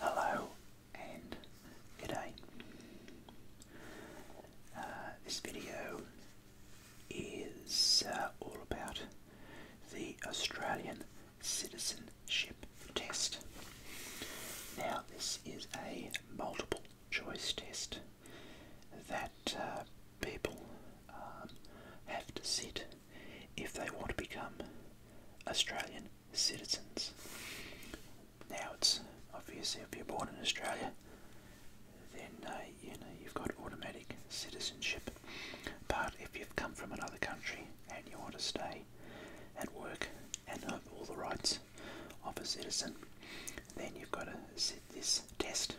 Hello and g'day. Uh, this video is uh, all about the Australian citizenship test. Now, this is a multiple choice test that uh, people um, have to sit if they want to become Australian citizens. Now, it's obviously if you're born in Australia, then uh, you know you've got automatic citizenship. But if you've come from another country and you want to stay and work and have all the rights of a citizen, then you've got to sit this test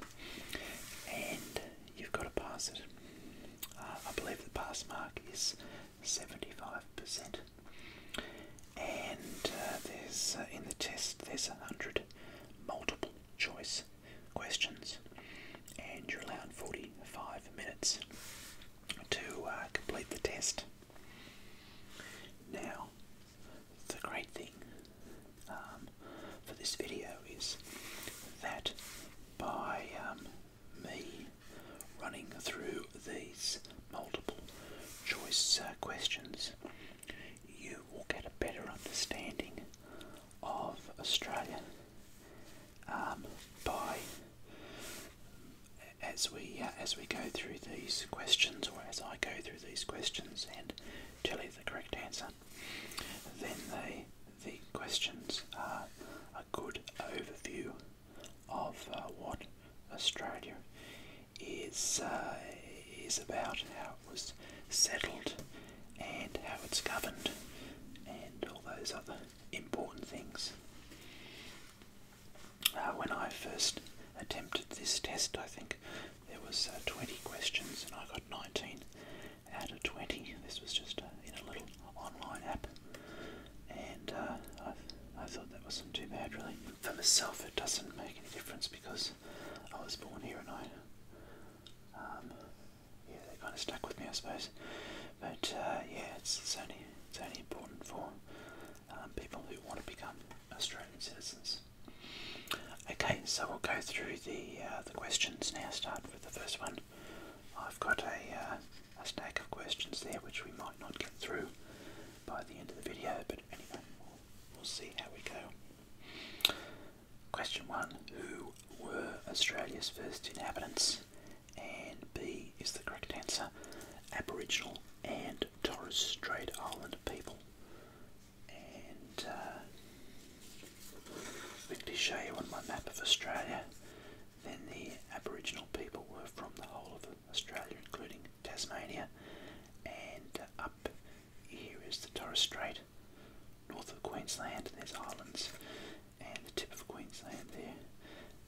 and you've got to pass it. Uh, I believe the pass mark is 75%. And uh, there's uh, in the test there's a 100 multiple choice questions, and you're allowed 45 minutes to uh, complete the test. Now, the great thing um, for this video is that by um, me running through these multiple choice uh, questions, you will get a better understanding of Australia um, by as we uh, as we go through these questions, or as I go through these questions and tell you the correct answer, then they the questions are a good overview of uh, what Australia is uh, is about, how it was settled, and how it's governed, and all those other important things. Uh, when I first attempted this test, I think there was 20 questions, and I got 19 out of 20. This was just in a little online app and uh, I, I thought that wasn't too bad really. For myself it doesn't make any difference because I was born here and I, um, yeah they kind of stuck with me I suppose, but uh, yeah it's, only, it's only important for um, people who want to become Australian citizens. Okay, so we'll go through the uh, the questions now. Start with the first one. I've got a a stack of questions there which we might not get through by the end of the video, but anyway, we'll, see how we go. Question 1 Who were Australia's first inhabitants? And B is the correct answer Aboriginal and Torres Strait Island people. And quickly uh, show you on my map of Australia then the Aboriginal people were from the whole of Australia, including Tasmania, and up here is the Torres Strait, north of Queensland, there's islands, and the tip of Queensland there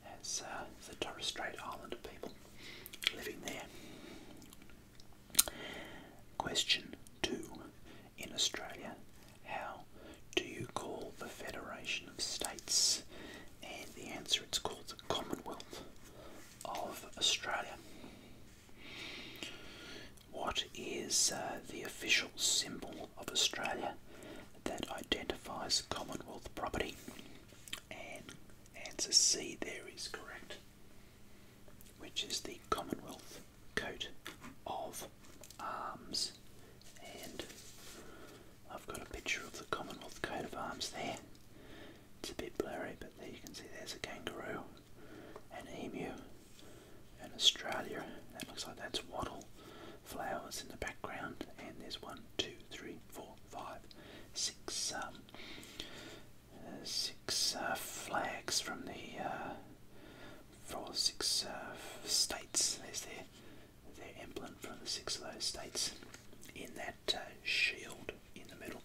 has uh, the Torres Strait Islander people living there. Question two: In Australia, how do you call the Federation of States? And the answer it's called the Commonwealth of Australia. What is uh, the official symbol of Australia that identifies Commonwealth property? And answer C there is correct, which is the Commonwealth coat of arms and I've got a picture of the Commonwealth coat of arms there. It's a bit blurry, but there you can see there's a kangaroo, an emu, and Australia. That looks like that's wattle flowers in the background, and there's one, two, three, four, five, six, um, uh, uh, flags from the uh, four, six uh, states. There's their emblem from the six low states in that uh, shield in the middle.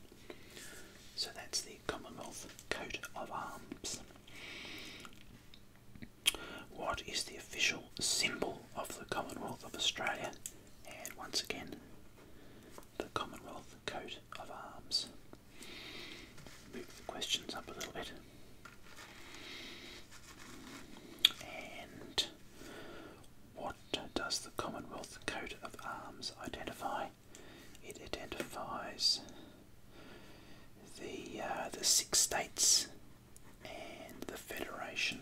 So that's the Commonwealth coat of arms. What is the official symbol of the Commonwealth of Australia? And once again, the Commonwealth coat of arms. Move the questions up a little bit. And what does the Commonwealth coat of arms identify? It identifies the uh, the six states and the federation.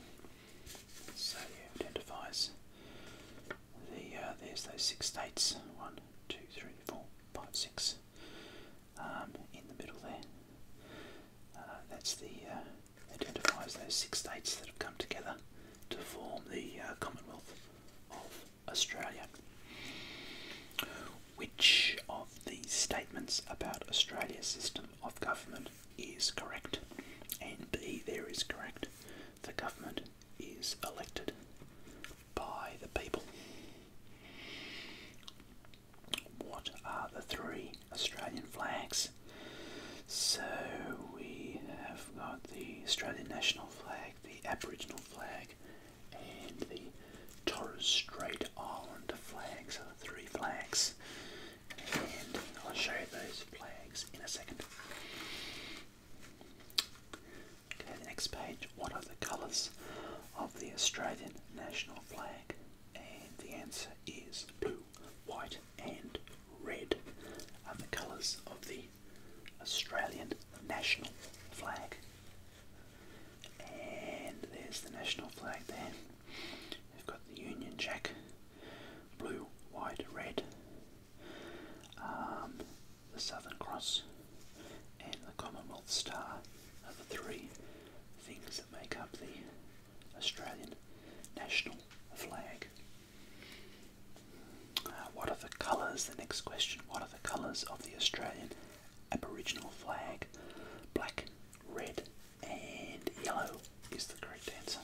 So it identifies the uh, there's those six states. One, two, three, four, five, six. Um, in the middle there. Uh, that's the uh, identifies those six states that have come together to form the uh, Commonwealth of Australia. Which of these statements about Australia's system of government is correct? And B there is correct. The government is elected by the people what are the three Australian flags? So we have got the Australian national flag, the Aboriginal flag, and the Torres Strait Islander flags. So the three flags, and I'll show you those flags in a second. Okay, next page. What are the colours of the Australian national flag? And the answer is blue, white, and red are the colours of the Australian national flag. And there's the national flag there. We've got the Union Jack, blue, white, red, um, the Southern Cross, and the Commonwealth Star of the three things that make up the Australian national flag. Uh, what are the colours? The next question. What are the colours of the Australian Aboriginal flag? Black, red, and yellow is the correct answer.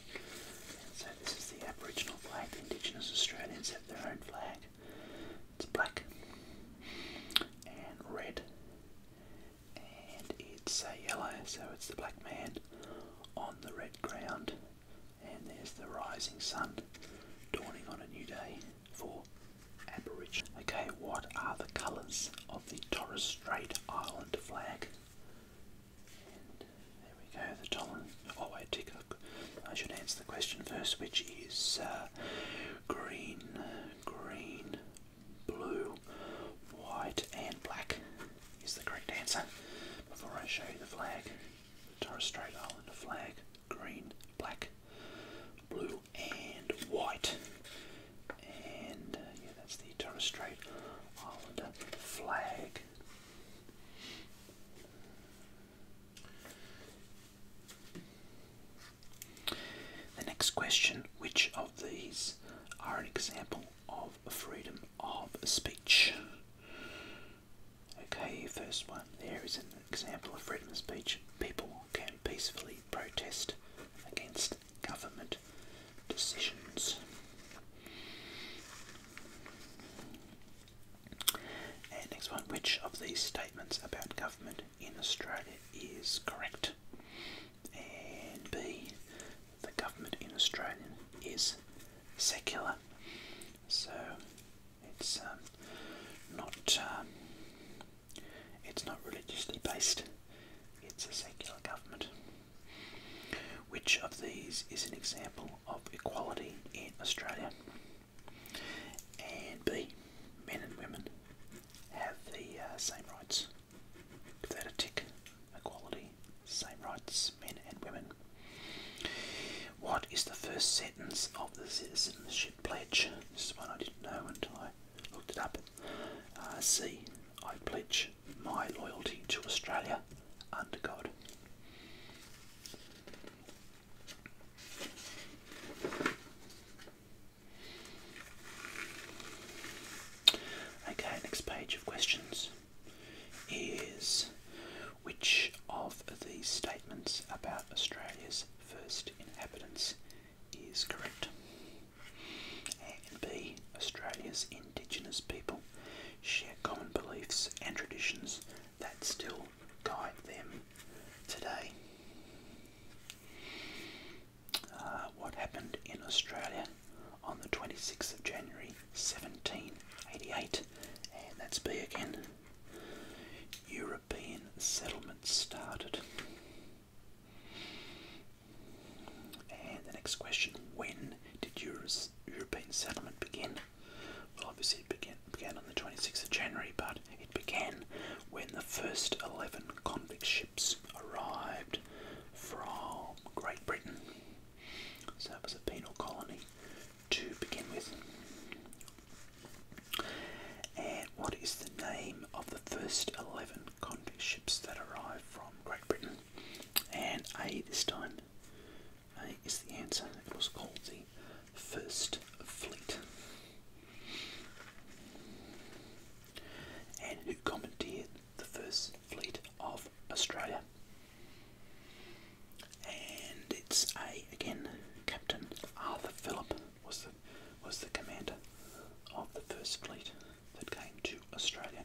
so this is the Aboriginal flag. The Indigenous Australians have their own flag. It's black and red and it's a uh, yellow, so it's the black man on the red ground. And there's the rising sun dawning on a new day for Aboriginal. Okay, what are the colours of the Torres Strait Island flag? there we go, the Torres. Oh wait, tick. I should answer the question first, which is uh, green, green, blue, white, and black is the correct answer. Before I show you the flag, Torres Strait Islander flag, green, black, blue, and white. And uh, yeah, that's the Torres Strait Islander flag. The next question which of these are an example of freedom of speech? Okay, first one there is an example of freedom of speech. People can peacefully protest against government decisions. And next one, which of these statements about government in Australia is correct? and B, the government in Australia is secular, so it's um, not um, it's not religiously based. It's a secular government. Which of these is an example of equality in Australia? And B, men and women have the uh, same rights. Give a tick. Equality, same rights, men and women. What is the first sentence of the Citizenship Pledge? This is one I didn't know until I looked it up. Uh, C. I pledge my loyalty to Australia under God. Okay, next page of questions is which of these statements about Australia's first inhabitants is correct? A and B. Australia's indigenous people share common beliefs and traditions that still guide them today. Uh, what happened in Australia on the 26th of January 1788, and that's B again. European settlement started. And the next question when did European settlement begin? Well, obviously, it began, began on the 26th of January, but it began when the first 11 convict ships arrived from Great Britain. So it was a penal colony to begin with. And what is the name of the first 11 convict ships that arrived from Great Britain? And A this time. A is the answer. It was called the First Fleet and who commanded the first fleet of Australia. And it's a again Captain Arthur Phillip was the was the commander of the first fleet that came to Australia.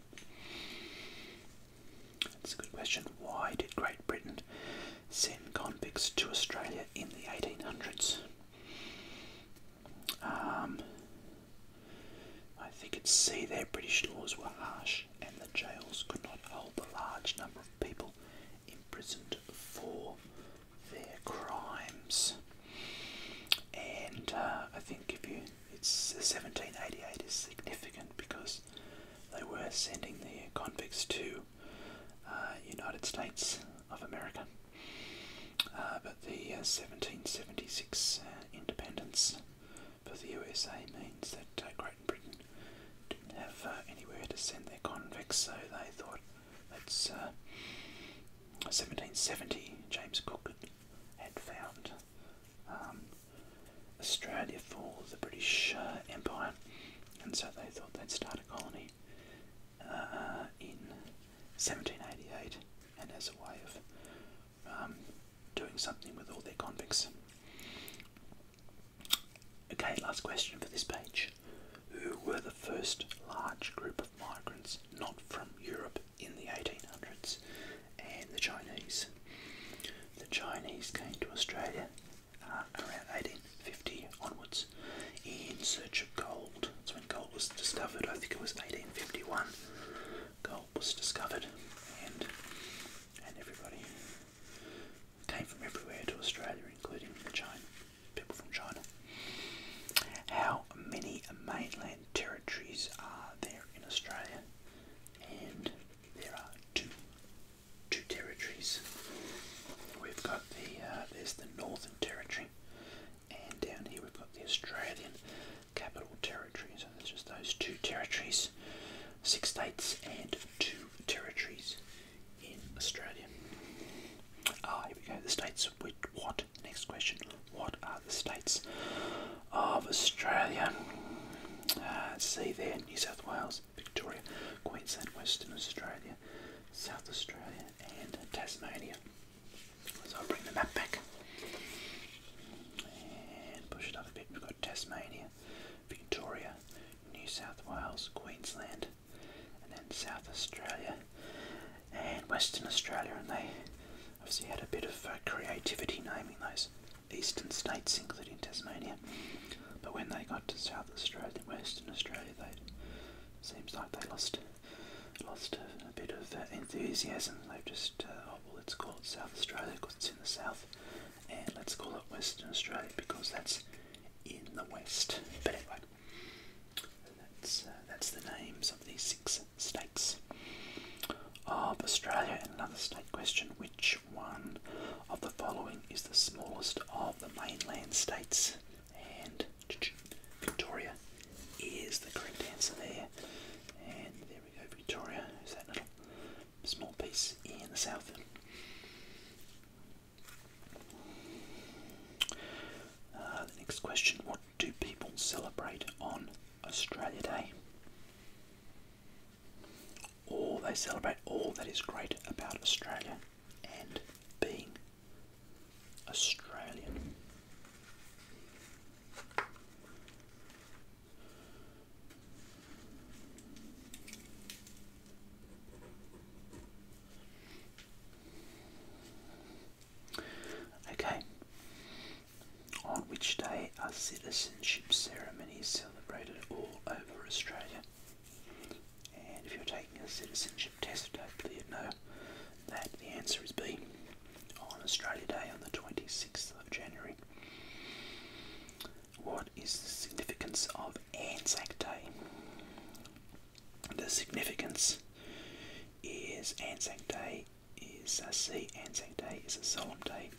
It's a good question. Why did Great Britain send convicts to Australia in the 1800s? Um, I think it's C there. British laws were harsh, and the jails could not hold the large number of people imprisoned for their crimes. And uh, I think if you, it's 1788 is significant because they were sending the convicts to uh, United States of America. Uh, but the 1776 uh, independence for the USA means that Great Britain didn't have anywhere to send their convicts, so they thought, let 1770, James Cook had found um, Australia for the British Empire, and so they thought they'd start a colony uh, in 1788 and as a way of um, doing something with all their convicts. Okay, last question for this page. Who were the first large group of migrants not from Europe in the 1800s? And the Chinese. The Chinese came to Australia uh, around 1800. Fifty onwards in search of gold. So when gold was discovered, I think it was 1851, gold was discovered and and everybody came from everywhere to Australia, including China, people from China. How many mainland territories are there in Australia? And there are two, two territories. We've got the uh, there's the Northern Territory, and down here we've got the Australian Capital Territory. So there's just those two territories, six states and two territories in Australia. Ah, here we go. The states what? Next question. What are the states of Australia? Uh, see there, New South Wales, Victoria, Queensland, Western Australia, South Australia, and Tasmania. So I'll bring the map back and push it up a bit. We've got Tasmania, Victoria, New South Wales, Queensland, and then South Australia and Western Australia. And they obviously had a bit of uh, creativity naming those eastern states, including Tasmania. But when they got to South Australia, and Western Australia, they Seems like they lost lost a, bit of uh, enthusiasm. They've just, uh, oh, well, it's called South Australia because it's in the south, and let's call it Western Australia because that's in the west. But anyway, that's, uh, that's the names of these six states of Australia. another state question which one of the following is the smallest of the mainland states? And Victoria is the correct answer there. And there we go, Victoria. Is that little small piece in the south? Uh, next question What do people celebrate on Australia Day? Or they celebrate all that is great about Australia and being Australian. Okay. On which day are citizenship ceremonies celebrated all over Australia? And if you're taking a citizenship test, hopefully you know that the answer is B on Australia Day on the 26th of January. What is the significance of Anzac Day? The significance is Anzac Day is uh, Anzac Day is a solemn day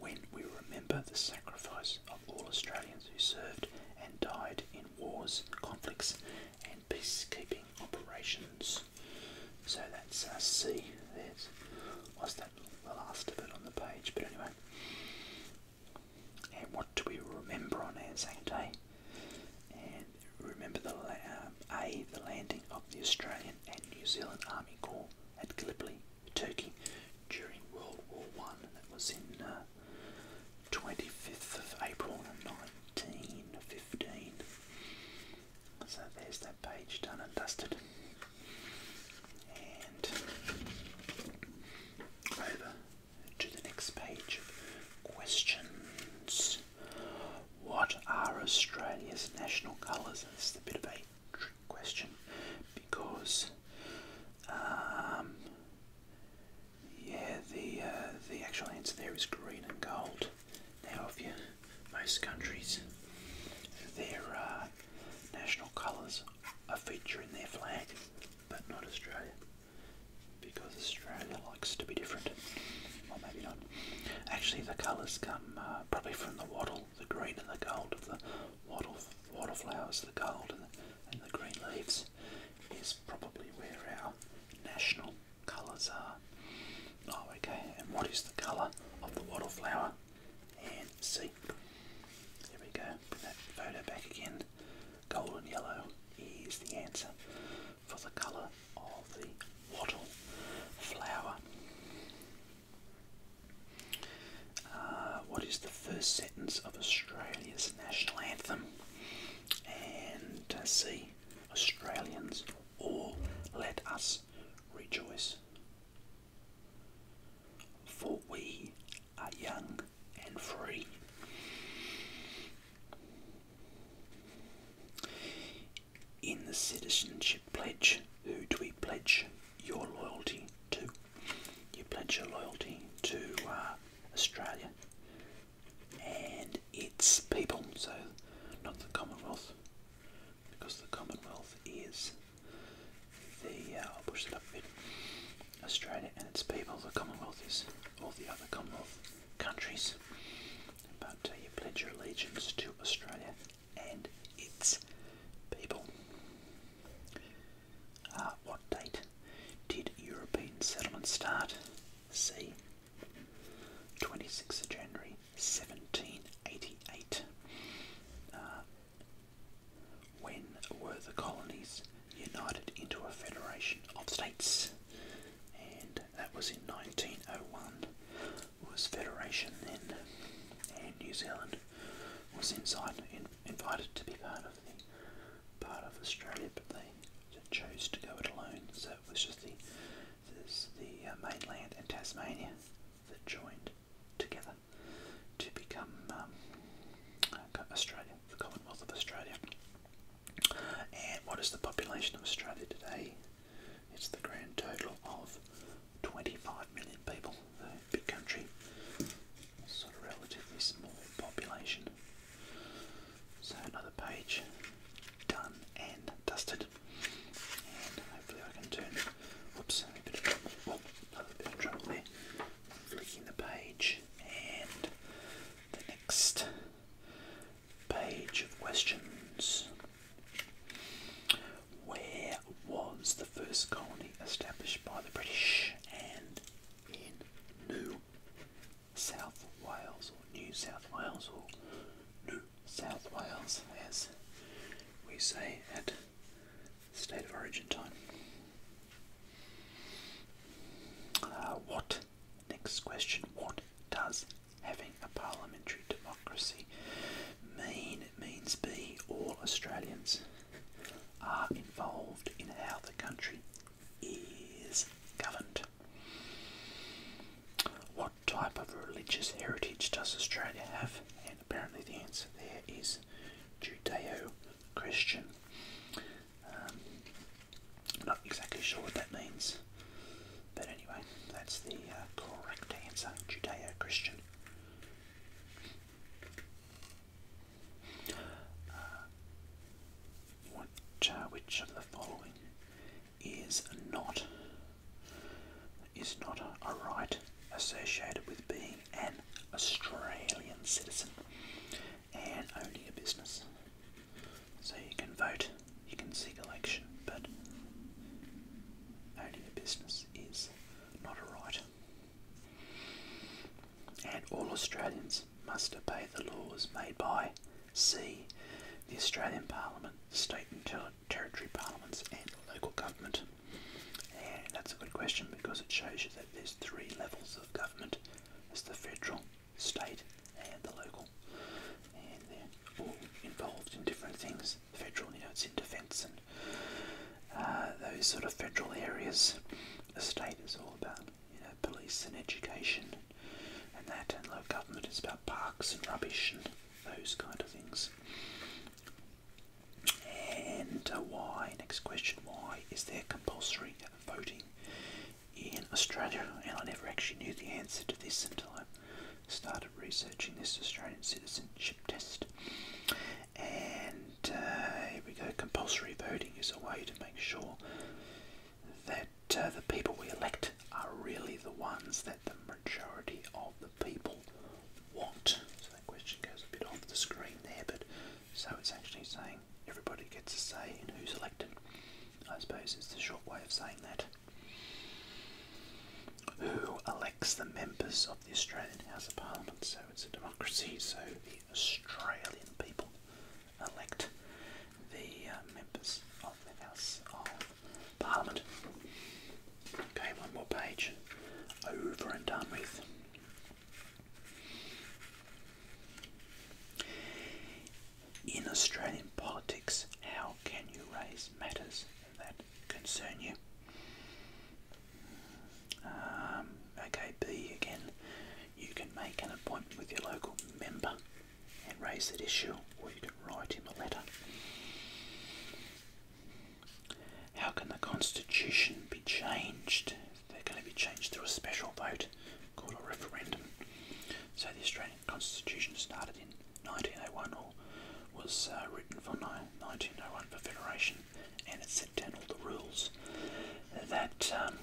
when we remember the sacrifice of all Australians who served and died in wars, conflicts, and peacekeeping operations. So that's uh, C. There's was that the last of it on the page, but anyway. And what do we remember on Anzac Day? And remember the uh, A, the landing of the Australian and New Zealand Army Corps at Gallipoli, Turkey, during World War One. and it was in uh, 25th of April 1915. So there's that page done and dusted. And over to the next page questions. What are Australia's national colours? This is a bit of a trick question because um, yeah, the uh, the actual answer there is green and gold. Now, if you, most countries, their uh, national colours are featured in their flag, but not Australia, because Australia likes to be different. Well, maybe not. Actually, the colours come uh, probably from the wattle, the green and the gold of the wattle, wattle flowers, the gold and and the green leaves is probably where our national colours are. Oh, okay, and what is the colour of the wattle flower? And see, there we go, put that photo back again. Golden yellow is the answer for the colour of the wattle flower. Uh, what is the first sentence of Australia's national anthem? and uh, see Australians all let us rejoice. For we are young and free. In the citizenship pledge, who do we pledge your loyalty to? You pledge your loyalty to uh, Australia and its people, so not the Commonwealth, because the Commonwealth is the, uh, I'll push it up a bit, Australia and its people, the Commonwealth is all the other Commonwealth countries, but uh, you pledge your allegiance to Australia and its people. Uh, what date did European settlement start? C. 26th of January 1788. Uh, when were the colonies united into a federation of states? And that was in 1901. Was federation then? And New Zealand was inside, invited to be part of the part of Australia, but they chose to go it alone. So it was just the the uh, mainland and Tasmania that joined together to become um, uh, Australia, the Commonwealth of Australia. And what is the population of Australia today? It's the grand total of 25 million people. The big country sort of relatively small population. So another page done and dusted. hopefully I can turn whoops oh, another bit of trouble there. Flicking the page and the next page of questions. Where was the first colony established by the British and in New South Wales or New South Wales or New South Wales as we say at state of origin time. Uh, what, next question, what does having a parliamentary democracy mean? It means B, all Australians are involved in how the country is governed. What type of religious heritage does Australia have? And apparently, the answer there is Judeo Christian. Um, not exactly sure what that means, but anyway, that's the uh, correct answer Judeo Christian. Uh, which, of the following is not is not a, a right associated with being an Australian citizen and only a business? So you can vote, you can seek election, but only a business is not a right. And all Australians must obey the laws made by C. The Australian Parliament, State and Territory Parliaments, and local government. And that's a good question because it shows you that there's three levels of government it's the federal, state, and the local. And they're all involved in different things. Federal, you know, it's in defence and uh, those sort of federal areas. The state is all about you know, police and education and that, and local government is about parks and rubbish and those kind of things. And uh, why, next question, why is there compulsory voting in Australia? And I never actually knew the answer to this until I started researching this Australian citizenship test. And and here we go. Compulsory voting is a way to make sure that uh, the people we elect are really the ones that the majority of the people want. So that question goes a bit off the screen there, but so it's actually saying everybody gets a say in who's elected. I suppose it's the short way of saying that. Who elects the members of the Australian House of Parliament? So it's a democracy, so Australian people elect the uh, members of the House of Parliament. Okay, one more page over and done with. In Australian politics, how can you raise matters that concern you? Um, okay, B again, you can make an appointment with your local member and raise that issue, or you can write him a letter. How can the Constitution be changed? They're going to be changed through a special vote called a referendum. So the Australian Constitution started in 1901 or was uh, written for 1901 for Federation and it's ten all the rules that um,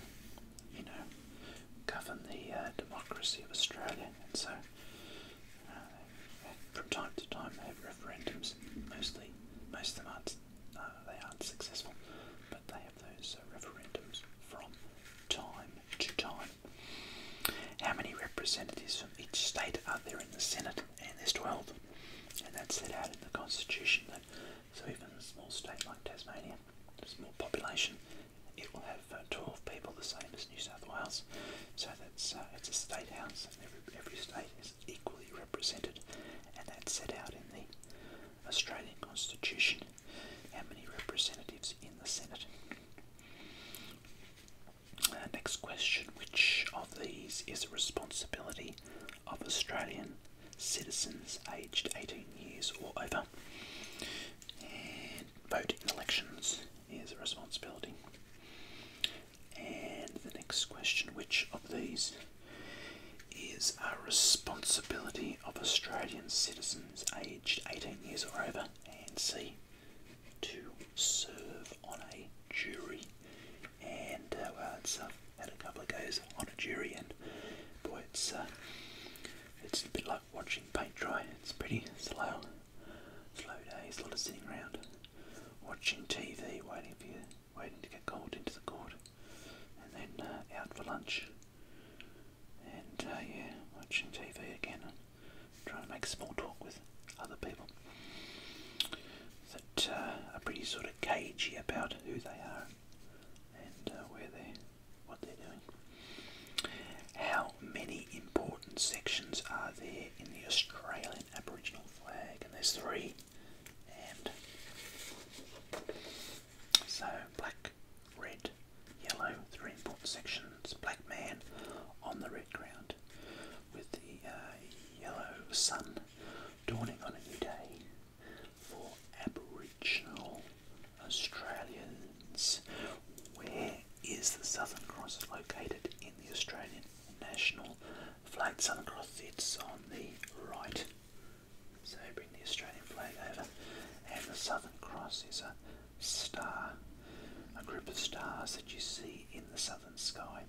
you know govern the uh, democracy of Australia, so uh, from time to time they have referendums. Mostly, most of them aren't uh, they aren't successful, but they have those referendums from time to time. How many representatives from each state are there in the Senate? And there's 12. And that's set out in the Constitution that so even a small state like Tasmania, a small population, it will have uh, 12 people, the same as New South Wales. So that's uh, it's a state house, and every, every state is equally represented, and that's set out in the Australian Constitution. How many representatives in the Senate? Uh, next question: Which of these is a responsibility of Australian citizens aged 18 years or over. And voting in elections is a responsibility. And the next question which of these is a responsibility of Australian citizens aged 18 years or over? And C, to serve on a jury. And uh, well, had a couple of goes on a jury, and boy, it's uh, it's a bit like watching paint dry. It's pretty slow, slow days, a lot of sitting around, watching TV, waiting for you, waiting to get called into the court, and then uh, out for lunch, and uh, yeah, watching TV again, and trying to make small talk with other people that uh, are pretty sort of cagey about who they are and uh, where they what they're doing. How many important sections are there in the Australian Aboriginal flag? And there's three. And so black, red, yellow, three important sections. Black man on the red ground with the uh, yellow sun dawning on a new day for Aboriginal Australians. Where is the Southern Cross located in the Australian National Flag? Southern Cross, it's on the right. So bring the Australian flag over, and the Southern Cross is a star, a group of stars that you see in the southern sky.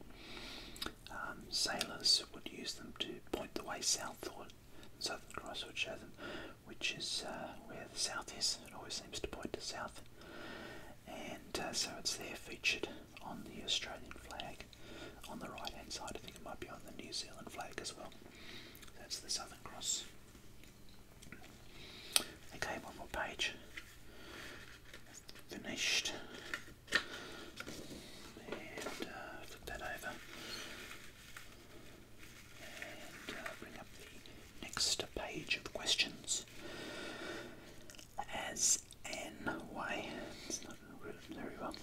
Um, sailors would use them to point the way south. The Southern Cross would show them which is uh, where the south is. It always seems to point to south. And uh, so it's there featured on the Australian flag on the right hand side. I think it might be on the New Zealand flag as well. That's the Southern Cross. Okay, one more page. Finished and uh, flip that over and uh, bring up the next page of questions as an very well,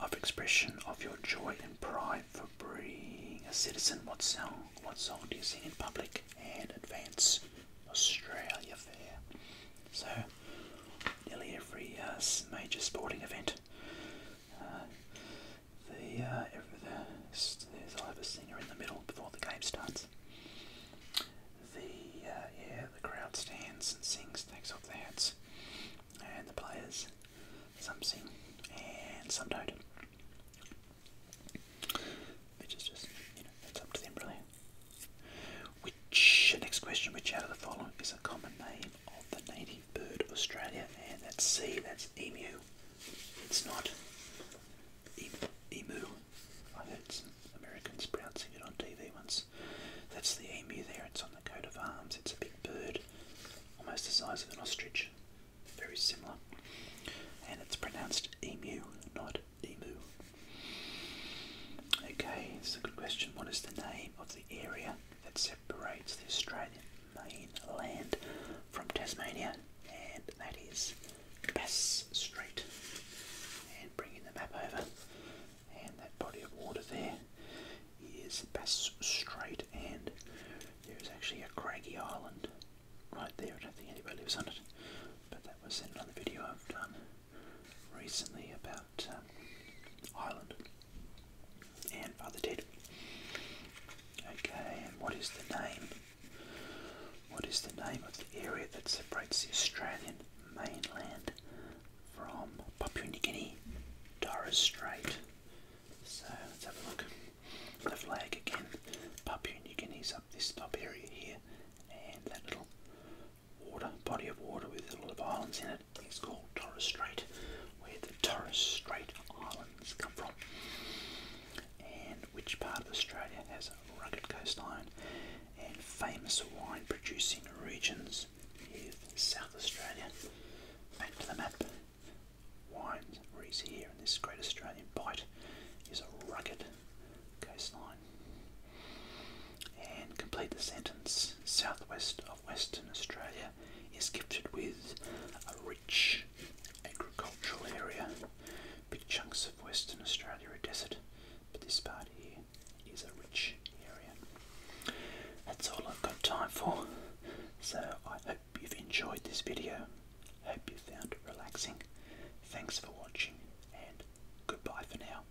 of expression of your joy and pride for being a citizen. What song, what song do you sing in public and advance Australia Fair? So uh, nearly every uh, major sporting event. Uh, the, uh, every, the singer in the middle before the game starts. The uh, yeah, the crowd stands and sings, takes off their hats, and the players some sing and some don't. Which just you know, it's up to them really. Which, next question, which out of the following is a common name of the native bird of Australia? And that's C, that's emu. It's not emu. I heard some Americans pronouncing it on TV once. That's the emu there, it's on the coat of arms. It's a big bird, almost the size of an ostrich. Very similar. And it's pronounced emu, not emu. Okay, it's a good question. What is the name of the the area that separates the Australian mainland from Tasmania, and that is Bass Strait. And bringing the map over, and that body of water there is Bass Strait, and there is actually a craggy island right there. I don't think anybody lives on it, but that was another video I've done recently about um, Ireland and Father Ted. Okay, and what is the name? What is the name of the area that separates the Australian mainland from Papua New Guinea, Torres Strait? So let's have a look. The flag again, Papua New Guinea's up this top area here, and that little water, body of water with a lot of islands in it. It's called Torres Strait, where the Torres Strait Islands come from. And which part of Australia has a rugged coastline and famous wine producing regions? Here's South Australia. Back to the map. Wine is here in this great Australian bight is a rugged coastline. And complete the sentence. Southwest of Western Australia is gifted with a rich agricultural area. Big chunks of Western Australia are desert, but this part here is a rich area. That's all I've got time for. So I hope you've enjoyed this video. Hope you found it relaxing. Thanks for watching and goodbye for now.